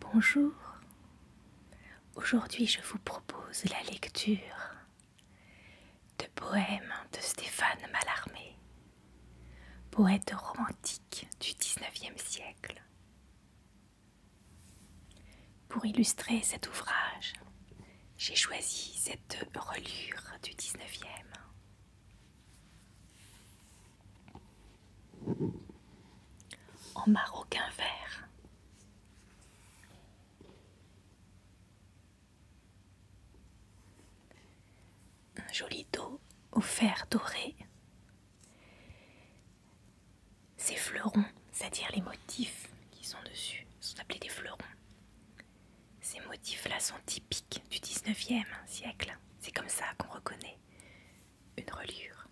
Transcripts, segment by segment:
Bonjour, aujourd'hui je vous propose la lecture de Poèmes de Stéphane Mallarmé, poète romantique du XIXe siècle. Pour illustrer cet ouvrage, j'ai choisi cette relure du XIXe. En maroquin vert. Un joli dos au fer doré. Ces fleurons, c'est-à-dire les motifs qui sont dessus, sont appelés des fleurons. Ces motifs-là sont typiques du 19e siècle. C'est comme ça qu'on reconnaît une reliure.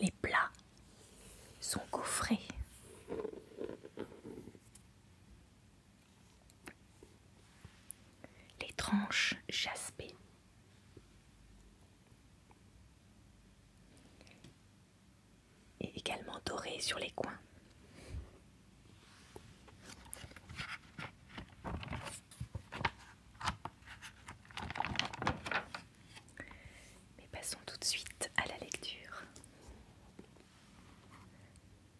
Les plats sont gaufrés. Les tranches jaspées. Et également dorées sur les coins. Mais passons tout de suite à la lecture.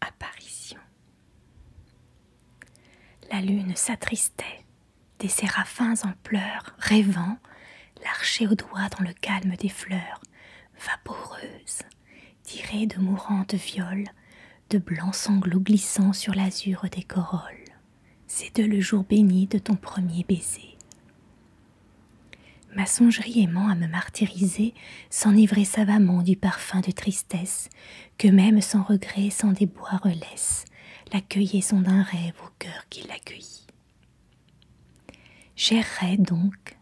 Apparition. La lune s'attristait, des séraphins en pleurs, rêvant, l'archer au doigt dans le calme des fleurs, Vaporeuses Tirées de mourantes violes, de blancs sanglots glissant sur l'azur des corolles. C'est de le jour béni de ton premier baiser. Ma songerie aimant à me martyriser S'enivrer savamment du parfum de tristesse que même sans regret, sans déboire laisse la d'un rêve au cœur qui l'accueillit. J'errais donc,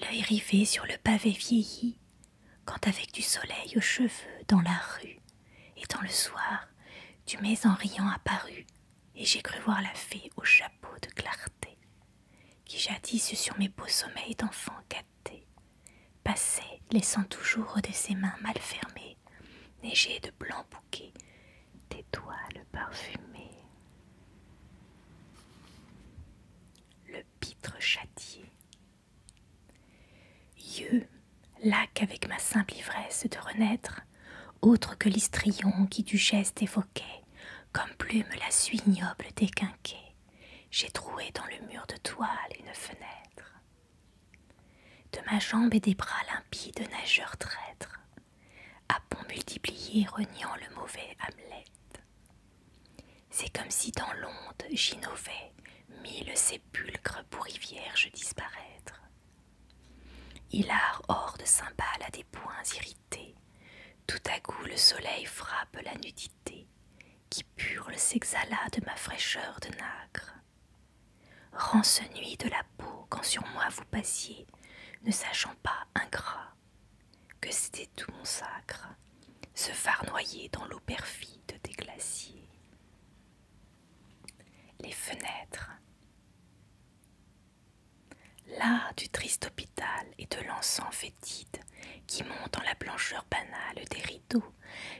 l'œil rivé sur le pavé vieilli, quand avec du soleil aux cheveux dans la rue et dans le soir, tu m'es en riant apparu, et j'ai cru voir la fée au chapeau de clarté, qui jadis sur mes beaux sommeils d'enfant gâté, passait, laissant toujours de ses mains mal fermées, neigées de blancs bouquets, toiles parfumées. Le pitre châtier Yeux, lac avec ma simple ivresse de renaître, autre que l'istrion qui du geste évoquait, comme plume la suie ignoble des quinquets, j'ai troué dans le mur de toile une fenêtre. De ma jambe et des bras limpides, nageurs traîtres à pont multiplié, reniant le mauvais Hamlet. C'est comme si dans l'onde j'innovais mille sépulcres pour y vierges disparaître. Hilar hors de cymbales à des poings irrités, tout à coup le soleil frappe la nudité, qui purle s'exhala de ma fraîcheur de nacre. ce nuit de la peau quand sur moi vous passiez, ne sachant pas ingrat que c'était tout mon sacre se farnoyer dans l'eau perfide des glaciers. Les fenêtres. Là, du triste hôpital et de l'encens fétide qui monte en la blancheur banale des rideaux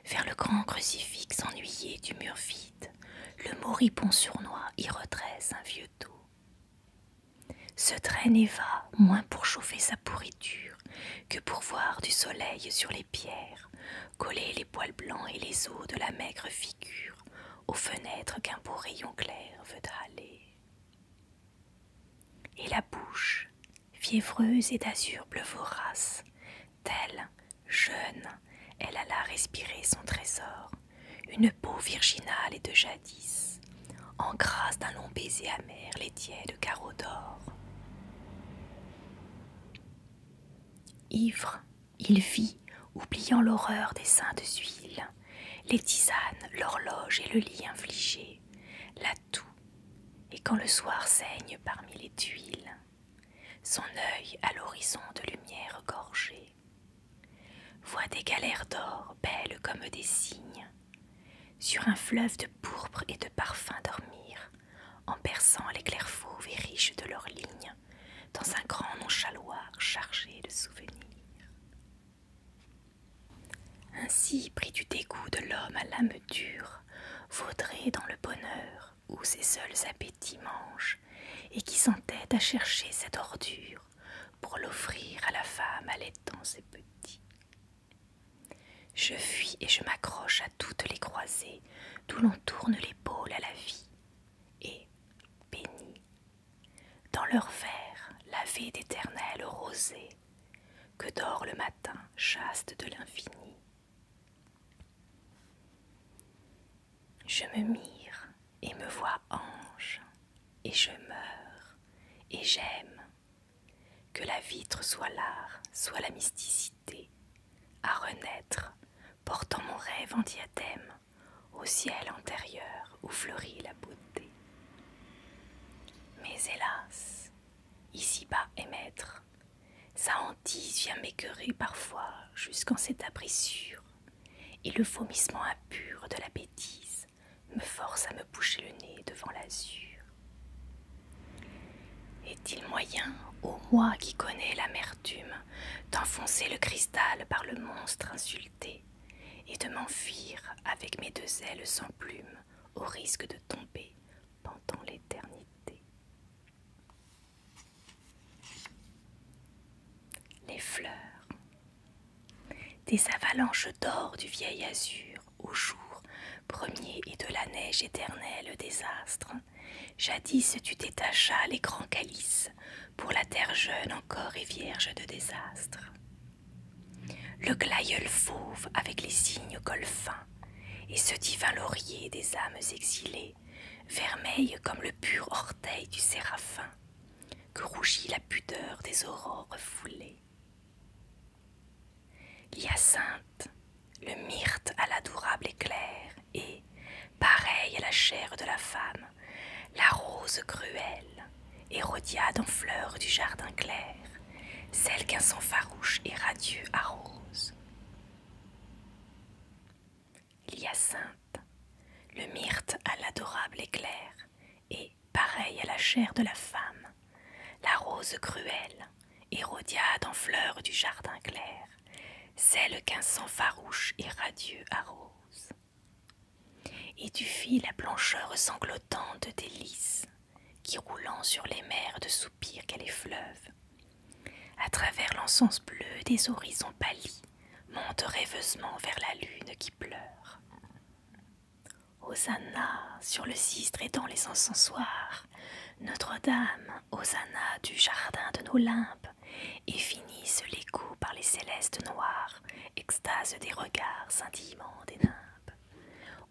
vers le grand crucifix ennuyé du mur vide, le moribond sournois y redresse un vieux dos. Se traîne et va, moins pour chauffer sa pourriture que pour voir du soleil sur les pierres, coller les poils blancs et les os de la maigre figure aux fenêtres qu'un beau rayon clair veut aller. Et la bouche, fiévreuse et d'azur bleu vorace, telle, jeune, elle alla respirer son trésor, une peau virginale et de jadis, en grâce d'un long baiser les tièdes carreaux d'or. Ivre, il vit, oubliant l'horreur des saintes huiles, les tisanes, l'horloge et le lit infligé, la toux, et quand le soir saigne parmi les tuiles, son œil à l'horizon de lumière gorgée, voit des galères d'or belles comme des cygnes, sur un fleuve de pourpre et de parfums dormir, en perçant les clairs fauves et riches de leurs lignes, dans un grand nonchaloir chargé de souvenirs. Ainsi, pris du dégoût de l'homme à l'âme dure, Vaudrait dans le bonheur où ses seuls appétits mangent, et qui s'entête à chercher cette ordure pour l'offrir à la femme allaitant ses petits. Je fuis et je m'accroche à toutes les croisées d'où l'on tourne l'épaule à la vie, et, bénis, dans leur verre lavé d'éternelles rosée, que dort le matin chaste de l'infini. Je me mire et me vois ange, et je meurs, et j'aime, que la vitre soit l'art, soit la mysticité, à renaître, portant mon rêve en diadème, au ciel antérieur où fleurit la beauté. Mais hélas, ici-bas maître, sa hantise vient m'écœurer parfois jusqu'en cette abrissure, et le vomissement impur de la bêtise me force à me boucher le nez devant l'azur. Est-il moyen, ô moi qui connais l'amertume, d'enfoncer le cristal par le monstre insulté et de m'enfuir avec mes deux ailes sans plume au risque de tomber pendant l'éternité Les fleurs, des avalanches d'or du vieil azur au jour, premier et de la neige éternelle des astres. Jadis tu détachas les grands calices pour la terre jeune encore et vierge de désastre. Le glaïeul fauve avec les signes golfins et ce divin laurier des âmes exilées, Vermeille comme le pur orteil du séraphin, que rougit la pudeur des aurores foulées. L'hyacinthe, le myrte à l'adorable éclair et, pareil à la chair de la femme, la rose cruelle, hérodiade en fleurs du jardin clair, celle qu'un sang farouche et radieux arrose. L'hyacinthe, le myrte à l'adorable éclair et, pareil à la chair de la femme, la rose cruelle, hérodiade en fleurs du jardin clair, celle qu'un sang farouche et radieux arrose. Et tu fis la blancheur sanglotante de délices, qui roulant sur les mers de soupir qu'elle effleuve, à travers l'encens bleu des horizons pâlis, monte rêveusement vers la lune qui pleure. Hosanna sur le cistre et dans les encensoirs, Notre-Dame, Hosanna du jardin de nos limbes, et finissent les coups par les célestes noirs, extase des regards scintillants des nymphes.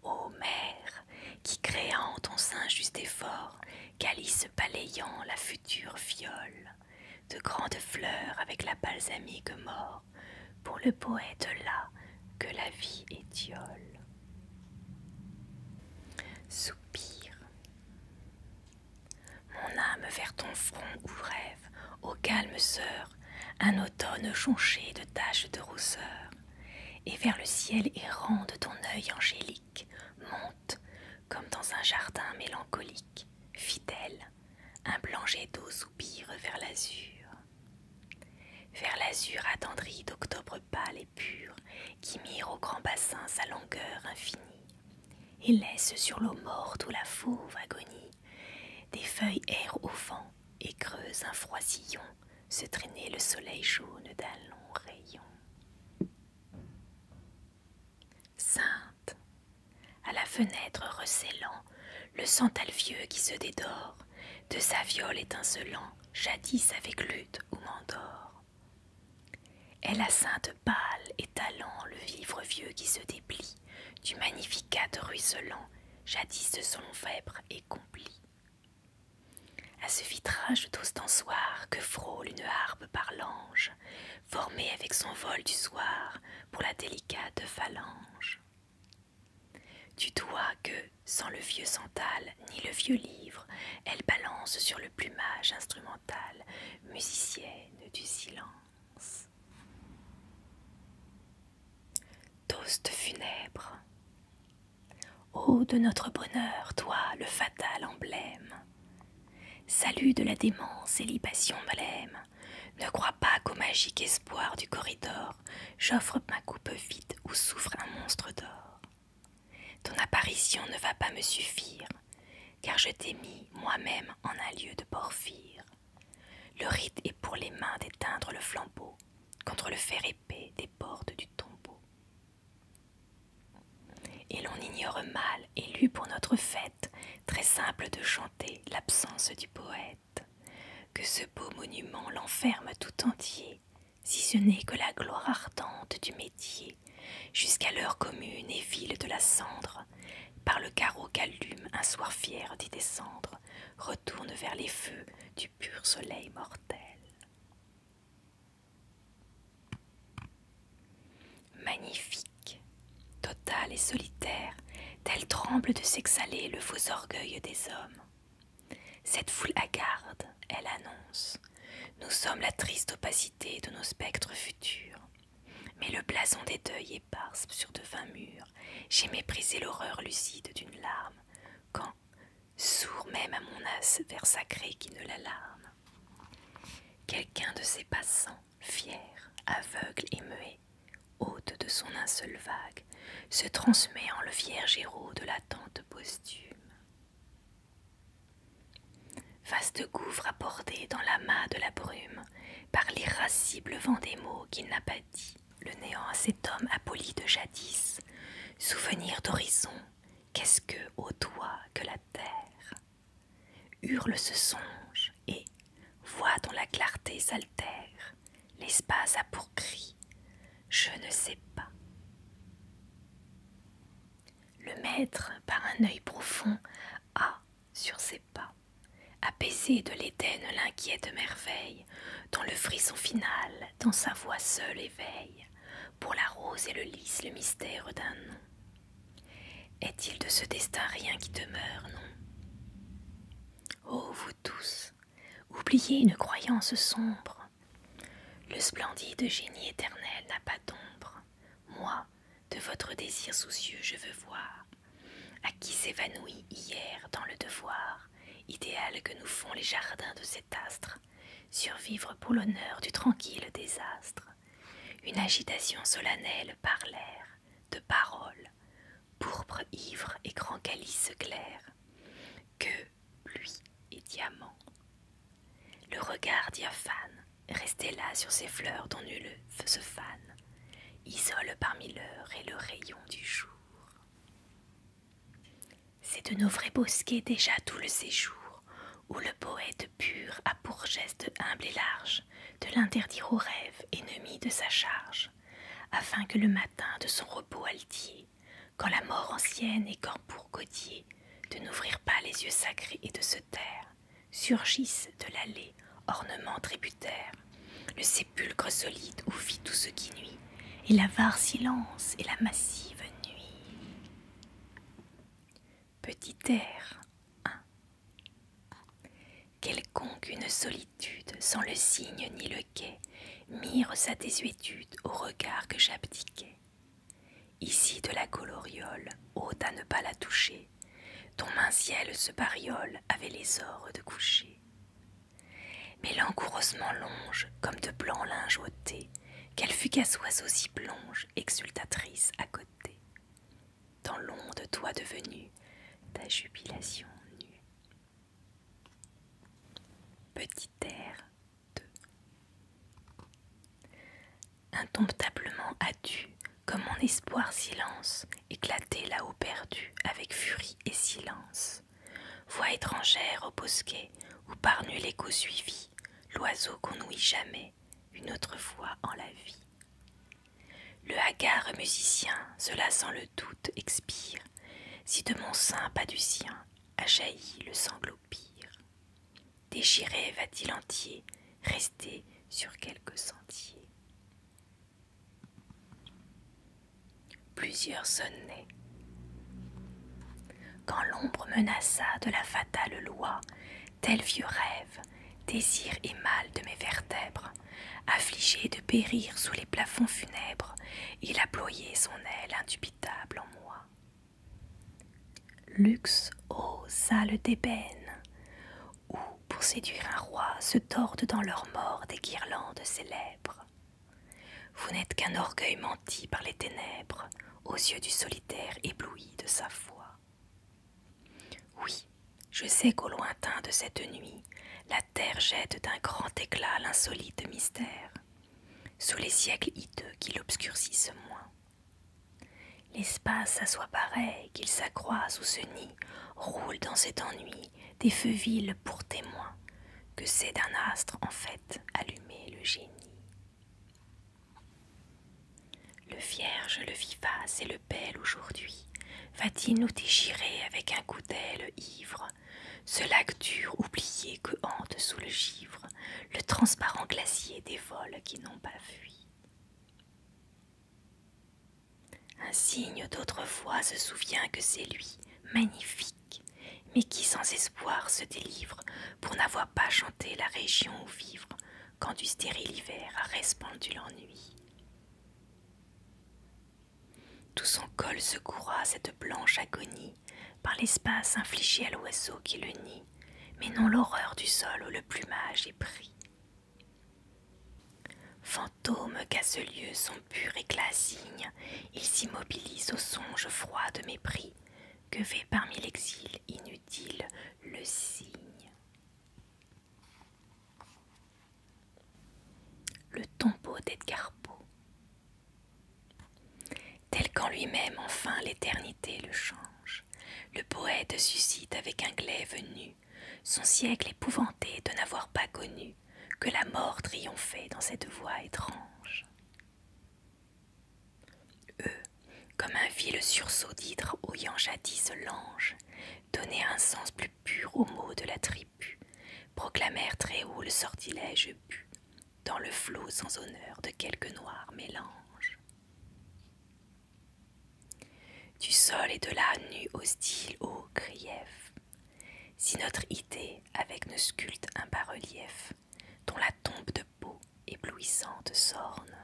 Ô mère, qui créant ton sein juste effort, calice balayant la future fiole, de grandes fleurs avec la balsamique mort, pour le poète là que la vie étiole. Soupir. Mon âme vers ton front où rêve, ô calme sœur, un automne jonché de taches de rousseur, et vers le ciel errant de ton œil angélique, monte, comme dans un jardin mélancolique, fidèle, un blanc d'eau soupire vers l'azur vers l'azur attendri d'octobre pâle et pur, qui mire au grand bassin sa longueur infinie, et laisse sur l'eau morte où la fauve agonie, des feuilles erre au vent et creuse un froid se traîner le soleil jaune d'un long rayon. Sainte, à la fenêtre recélant, le santal vieux qui se dédore, de sa viole étincelant, jadis avec lutte ou mandore. Elle a sainte pâle et talent le vivre vieux qui se déplie, du magnificat ruisselant, jadis de son fèbre et complit À ce vitrage d'ostansoir que frôle une harpe par l'ange, formée avec son vol du soir pour la délicate phalange. Tu dois que, sans le vieux santal ni le vieux livre, elle balance sur le plumage instrumental, musicienne du silence. Toast funèbre. Ô de notre bonheur, toi, le fatal emblème. Salut de la démence et libation blême. Ne crois pas qu'au magique espoir du corridor, j'offre ma coupe vide où souffre un monstre d'or. Ton apparition ne va pas me suffire, car je t'ai mis moi-même en un lieu de porphyre. Le rite est pour les mains d'éteindre le flambeau contre le fer épais des portes du tombeau. Et l'on ignore mal, élu pour notre fête, très simple de chanter l'absence du poète, que ce beau monument l'enferme tout entier, si ce n'est que la gloire ardente du métier, jusqu'à l'heure commune et ville de la cendre, par le carreau qu'allume un soir fier d'y descendre, retourne vers les feux du pur soleil mortel. Magnifique, total et solitaire, tel tremble de s'exhaler le faux orgueil des hommes. Cette foule hagarde, elle annonce Nous sommes la triste opacité de nos spectres futurs. Mais le blason des deuils éparse sur de vains murs, j'ai méprisé l'horreur lucide d'une larme, quand, sourd même à mon as vers sacré qui ne l'alarme, quelqu'un de ces passants, fier, aveugle et muet, hôte de son seul vague, se transmet en le vierge héros de l'attente Vaste gouffre abordé dans l'amas de la brume par l'irascible vent des mots qu'il n'a pas dit, le néant à cet homme apoli de jadis, souvenir d'horizon, qu'est-ce que, ô toi, que la terre Hurle ce songe et, voix dont la clarté s'altère, l'espace a pour cri, je ne sais pas. Le maître, par un œil profond, a, sur ses pas, apaisé de l'Éden l'inquiète merveille, dont le frisson final, dans sa voix seule éveille, pour la rose et le lys le mystère d'un nom. Est-il de ce destin rien qui demeure, non Ô oh, vous tous, oubliez une croyance sombre, le splendide génie éternel n'a pas d'ombre. Moi, de votre désir soucieux, je veux voir. À qui s'évanouit hier dans le devoir, idéal que nous font les jardins de cet astre, survivre pour l'honneur du tranquille désastre. Une agitation solennelle par l'air, de paroles, pourpre ivre et grand calice clair. Que, pluie et diamant Le regard diaphane resté là sur ces fleurs dont nul se fane, isole parmi l'heure et le rayon du jour. C'est de nos vrais bosquets déjà tout le séjour où le poète pur a pour geste humble et large de l'interdire aux rêve Ennemi de sa charge, afin que le matin de son repos altier quand la mort ancienne et corps Godier, de n'ouvrir pas les yeux sacrés et de se taire, surgissent de l'allée, ornement tributaire, le sépulcre solide où vit tout ce qui nuit, et l'avare silence et la massive nuit. Petit air Quelconque une solitude, sans le signe ni le quai, Mire sa désuétude au regard que j'abdiquais. Ici de la coloriole, haute à ne pas la toucher, Ton un ciel se bariole avait les ors de coucher. Mais langoureusement longe, comme de blanc linge ôté, qu'elle fut qu'à soise aussi plonge, exultatrice à côté. Dans l'onde, toi devenue, ta jubilation nue. Petit air, Indomptablement as-tu, comme mon espoir silence, éclaté là-haut perdu, avec furie et silence. Voix étrangère au bosquet, où par nul écho suivi, l'oiseau qu'on nouit jamais, une autre fois en la vie. Le hagard musicien, cela sans le doute, expire, si de mon sein pas du sien, a le sanglot pire. Déchiré va-t-il entier, rester sur quelques sentiers. Plusieurs sonnaient. Quand l'ombre menaça de la fatale loi, tel vieux rêve, désir et mal de mes vertèbres, affligé de périr sous les plafonds funèbres, il a son aile indubitable en moi. Luxe ô salles d'ébène, où, pour séduire un roi, se tordent dans leurs morts des guirlandes célèbres. Vous n'êtes qu'un orgueil menti par les ténèbres, aux yeux du solitaire ébloui de sa foi. Oui, je sais qu'au lointain de cette nuit, la terre jette d'un grand éclat l'insolite mystère, sous les siècles hideux qui l'obscurcissent moins. L'espace à soi pareil, qu'il s'accroît sous ce nid, roule dans cet ennui des feux vils pour témoins, que c'est d'un astre en fait allumé le génie. Le vierge, le vivace et le bel aujourd'hui, va-t-il nous déchirer avec un coup d'aile ivre ce lac dur oublié que hante sous le givre le transparent glacier des vols qui n'ont pas fui. Un signe d'autrefois se souvient que c'est lui, magnifique, mais qui sans espoir se délivre pour n'avoir pas chanté la région où vivre quand du stérile hiver a respandu l'ennui. Tout son col secoura cette blanche agonie par l'espace infligé à l'oiseau qui le nie, mais non l'horreur du sol où le plumage est pris. Fantômes qu'à ce lieu son pur et signe, ils s'immobilisent au songe froid de mépris que fait parmi l'exil inutile le signe. Le tombeau d'Edgar Poe. Tel qu'en lui-même enfin l'éternité le change, le poète suscite avec un glaive nu son siècle épouvanté de n'avoir pas connu que la mort triomphait dans cette voix étrange. Eux, comme un vil sursaut d'hydre ouillant jadis l'ange, donnaient un sens plus pur aux mots de la tribu, proclamèrent très haut le sortilège bu, dans le flot sans honneur de quelque noir mélange. Du sol et de la nue hostile au grief, si notre idée avec ne sculpte un bas-relief dont la tombe de peau éblouissante s'orne.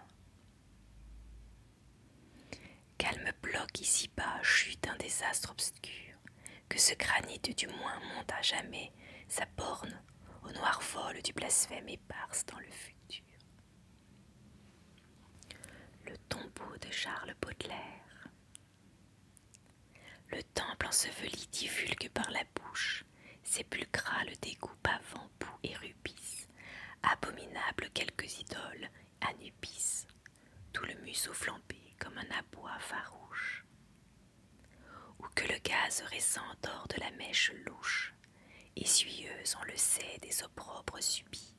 Calme bloc ici-bas, chute un désastre obscur, que ce granit du moins monte à jamais sa borne au noir vol du blasphème éparse dans le futur. Le tombeau de Charles Baudelaire. Le temple enseveli divulgue par la bouche, sépulcral dégoût pavant, boue et rubis, abominable quelques idoles, anubis, tout le museau flambé comme un aboi farouche ou que le gaz récent dort de la mèche louche, essuyeuse, on le sait, des opprobres subis.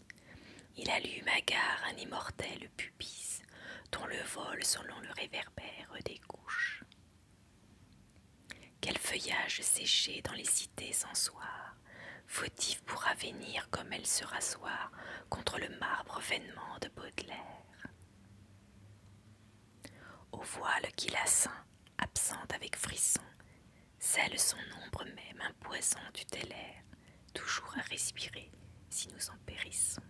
Il allume à gare un immortel pupis dont le vol, selon le réverbère des couches. Quel feuillage séché dans les cités sans soir, fautif pour avenir comme elle se rasseoir contre le marbre vainement de Baudelaire. Au voile qui la ceint, absente avec frisson, Celle son ombre même un poison tutélaire, toujours à respirer si nous en périssons.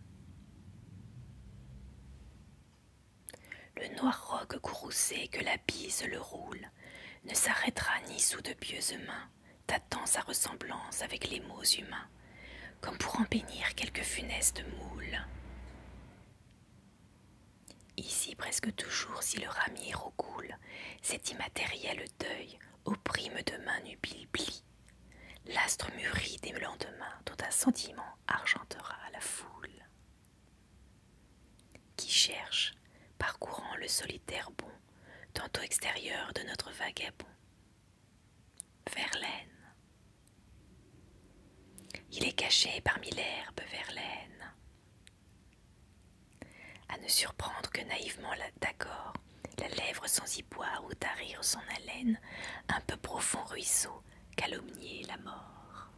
Le noir roc courroucé que la bise le roule ne s'arrêtera ni sous de pieuses mains, tâtant sa ressemblance avec les maux humains, comme pour en bénir quelque funeste moule. Ici presque toujours, si le ramier recoule, cet immatériel deuil opprime de main nubile pli L'astre mûrit des lendemains dont un sentiment argentera la foule. Qui cherche, parcourant le solitaire bon, tantôt extérieur de notre vagabond, Verlaine, il est caché parmi l'herbe verlaine. À ne surprendre que naïvement d'accord, la lèvre sans y boire ou tarir son haleine, un peu profond ruisseau, calomnier la mort.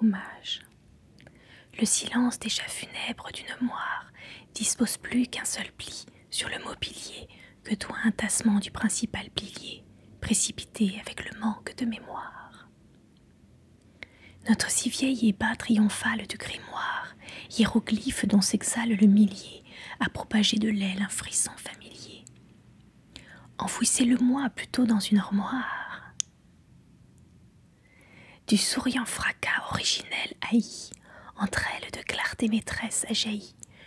Hommage. Le silence déjà funèbre d'une moire dispose plus qu'un seul pli sur le mobilier que doit un tassement du principal pilier, précipité avec le manque de mémoire. Notre si vieil bas triomphale de grimoire, hiéroglyphe dont s'exhale le millier, a propagé de l'aile un frisson familier. Enfouissez-le-moi plutôt dans une armoire. Du souriant fracas originel haï, entre elles de clarté maîtresse a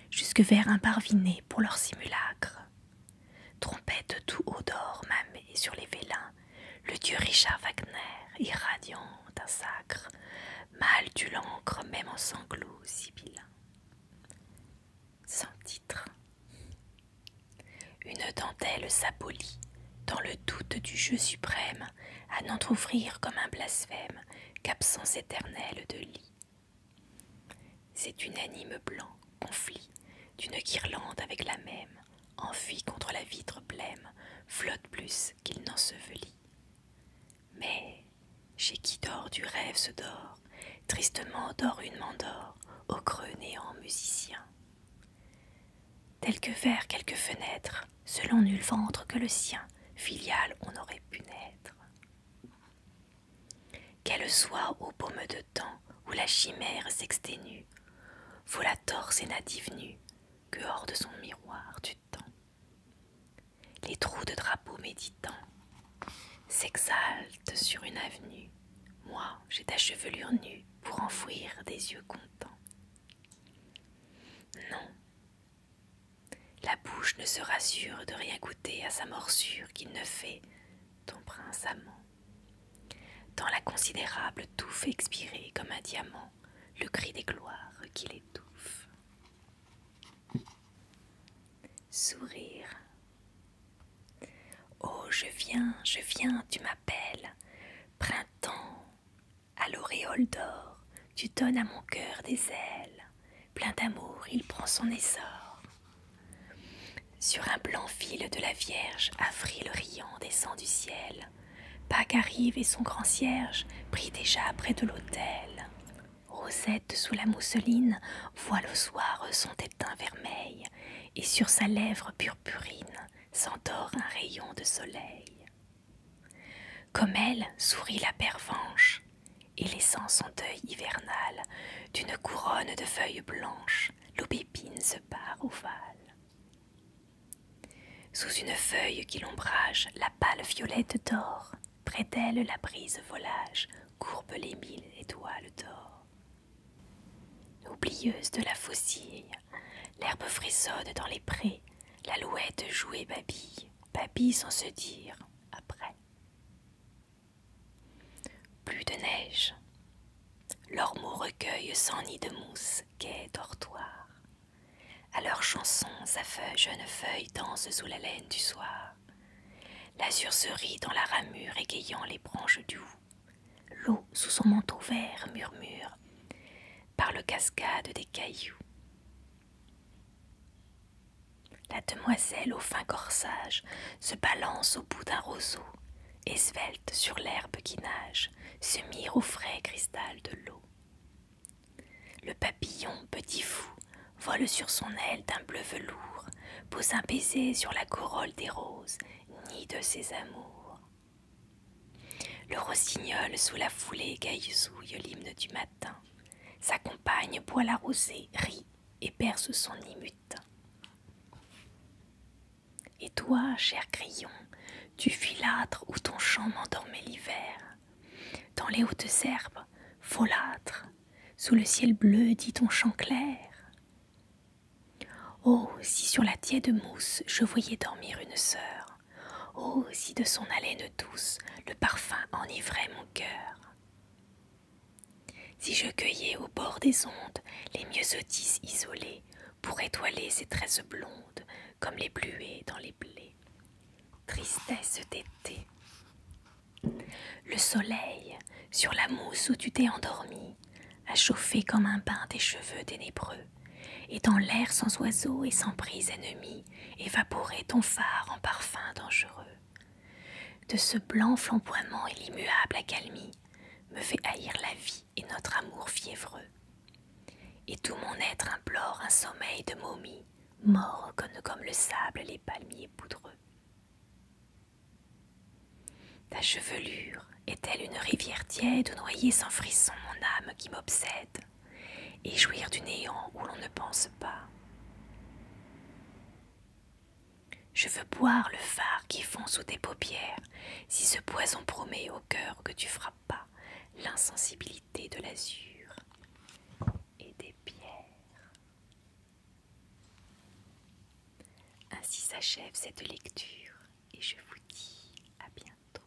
jusque vers un parviné pour leur simulacre. Trompette tout haut d'or mamée sur les vélins, le dieu Richard Wagner, irradiant d'un sacre, Mal du l'encre même en sanglots sibylins. Sans titre. Une dentelle s'abolit, dans le doute du jeu suprême, à n'entr'ouvrir comme un blasphème qu'absence éternelle de lit, c'est une anime blanc, conflit, d'une guirlande avec la même, enfui contre la vitre blême, flotte plus qu'il n'ensevelit. Mais chez qui dort du rêve se dort, tristement dort une mandore, au creux néant musicien. Tel que vers quelque fenêtre, selon nul ventre que le sien, filial on aurait pu naître. Qu'elle soit aux baume de temps où la chimère s'exténue, faut la torse et native nue que hors de son miroir du temps. Les trous de drapeau méditants s'exaltent sur une avenue. Moi, j'ai ta chevelure nue pour enfouir des yeux contents. Non, la bouche ne se rassure de rien goûter à sa morsure qu'il ne fait, ton prince amant. Dans la considérable touffe expirer comme un diamant le cri des gloires qui l'étouffe. Sourire. Oh, je viens, je viens, tu m'appelles. Printemps, à l'auréole d'or, tu donnes à mon cœur des ailes plein d'amour, il prend son essor. Sur un blanc fil de la Vierge, avril riant descend du ciel. Pâques arrive et son grand cierge prie déjà près de l'autel. Rosette sous la mousseline Voit le soir son teint vermeil, et sur sa lèvre purpurine s'endort un rayon de soleil. Comme elle sourit la pervenche, et laissant son deuil hivernal d'une couronne de feuilles blanches, l'aubépine se part ovale. Sous une feuille qui l'ombrage, la pâle violette dort, près d'elle la brise volage, courbe les mille étoiles d'or. Oublieuse de la faucille, l'herbe frissonne dans les prés, l'alouette joue et babille, babille sans se dire après. Plus de neige. mot recueille sans nid de mousse, gai dortoir. À leurs chansons, sa feuille, jeune feuille danse sous la laine du soir. L'azur se dans la ramure, égayant les branches du hou. L'eau, sous son manteau vert, murmure par le cascade des cailloux. La demoiselle au fin corsage se balance au bout d'un roseau, et svelte sur l'herbe qui nage, se mire au frais cristal de l'eau. Le papillon, petit fou, vole sur son aile d'un bleu velours, pose un baiser sur la corolle des roses, nid de ses amours. Le rossignol sous la foulée gaillezouille l'hymne du matin. Sa compagne boit la rosée, rit et perce son imute. Et toi, cher grillon, tu filâtres où ton chant m'endormait l'hiver, dans les hautes herbes, folâtre, sous le ciel bleu dit ton chant clair. Oh, si sur la tiède mousse je voyais dormir une sœur, oh, si de son haleine douce le parfum enivrait mon cœur. Si je cueillais au bord des ondes les myosotis isolés pour étoiler ces tresses blondes comme les bluets dans les blés. Tristesse d'été. Le soleil, sur la mousse où tu t'es endormi, a chauffé comme un bain des cheveux ténébreux, et dans l'air sans oiseaux et sans prise ennemie, évaporer ton phare en parfum dangereux. De ce blanc flamboiement et l'immuable accalmie me fait haïr la vie et notre amour fiévreux. Et tout mon être implore un sommeil de momie, mort comme le sable les palmiers poudreux. Ta chevelure est-elle une rivière tiède où noyer sans frisson mon âme qui m'obsède et jouir du néant où l'on ne pense pas je veux boire le phare qui fond sous tes paupières, si ce poison promet au cœur que tu frappes pas l'insensibilité de l'azur et des pierres. Ainsi s'achève cette lecture et je vous dis à bientôt.